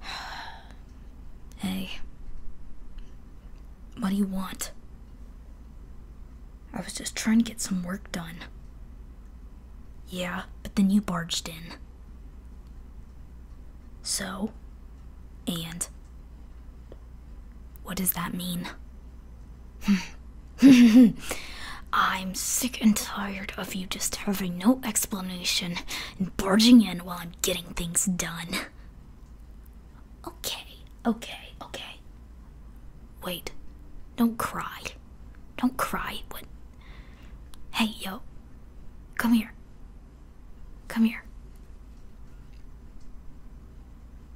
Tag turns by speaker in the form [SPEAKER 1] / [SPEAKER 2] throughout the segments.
[SPEAKER 1] hey. What do you want? I was just trying to get some work done. Yeah, but then you barged in. So? And? What does that mean? I'm sick and tired of you just having no explanation and barging in while I'm getting things done. Okay, okay, okay. Wait, don't cry. Don't cry. What? Hey, yo, come here. Come here.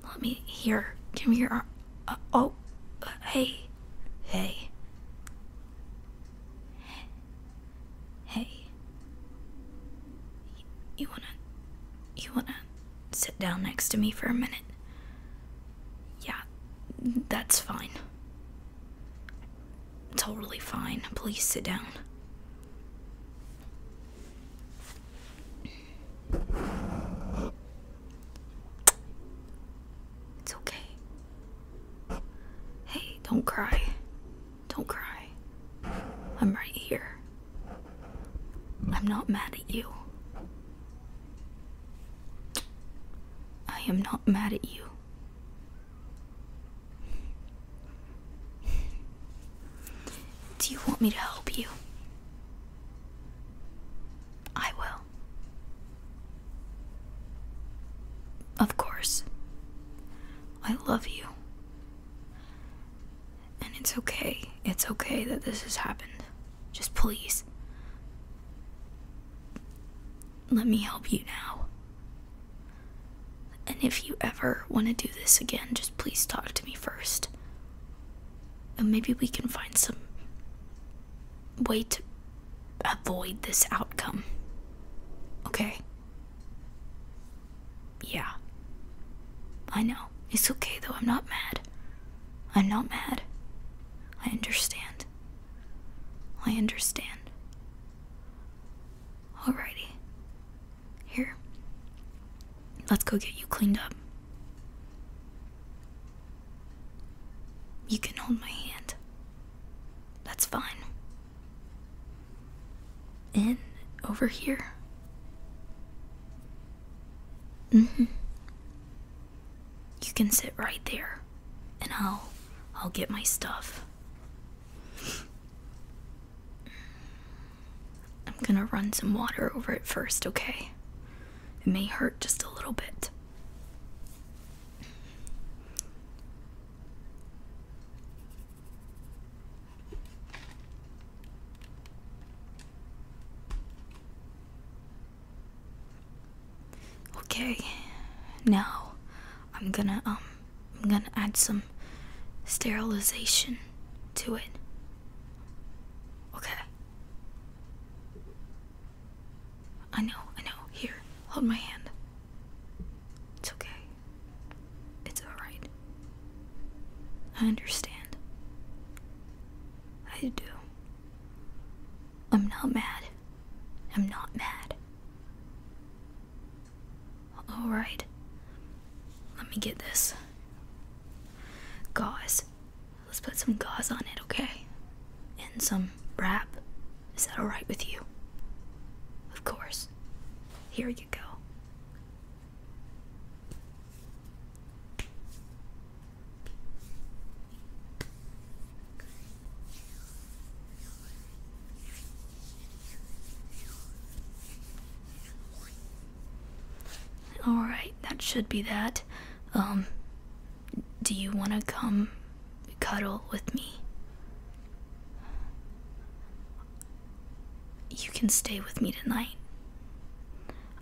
[SPEAKER 1] Let me hear. Give me your arm. Uh, oh, uh, hey, hey. Hey. You, wanna. You wanna sit down next to me for a minute? Yeah, that's fine. Totally fine. Please sit down. It's okay. Hey, don't cry. Don't cry. I'm right here. I'm not mad at you. I am not mad at you. Do you want me to help you? I will. Of course. I love you. And it's okay. It's okay that this has happened. Just please. Let me help you now. And if you ever want to do this again, just please talk to me first. And maybe we can find some way to avoid this outcome. Okay? Yeah. I know. It's okay though. I'm not mad. I'm not mad. I understand. I understand. Alrighty. Here. Let's go get you cleaned up. You can hold my hand. That's fine. In over here. hmm You can sit right there, and I'll I'll get my stuff. I'm gonna run some water over it first, okay? It may hurt just a little bit. Okay, now I'm gonna um I'm gonna add some sterilization to it. Okay. I know, I know. Here, hold my hand. It's okay. It's alright. I understand. I do. I'm not mad. I'm not mad. Alright. Let me get this. guys. Let's put some gauze on it, okay? And some wrap. Is that alright with you? Of course. Here you go. Alright, that should be that. Um, do you want to come cuddle with me? You can stay with me tonight.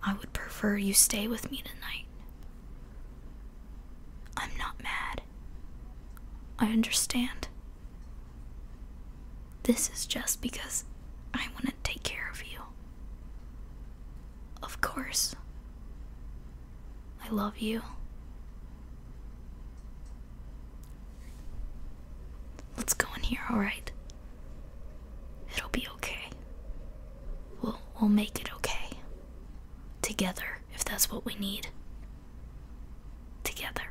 [SPEAKER 1] I would prefer you stay with me tonight. I'm not mad. I understand. This is just because I want to take care of you. Of course. I love you. Let's go in here, alright? It'll be okay. We'll, we'll make it okay. Together, if that's what we need. Together.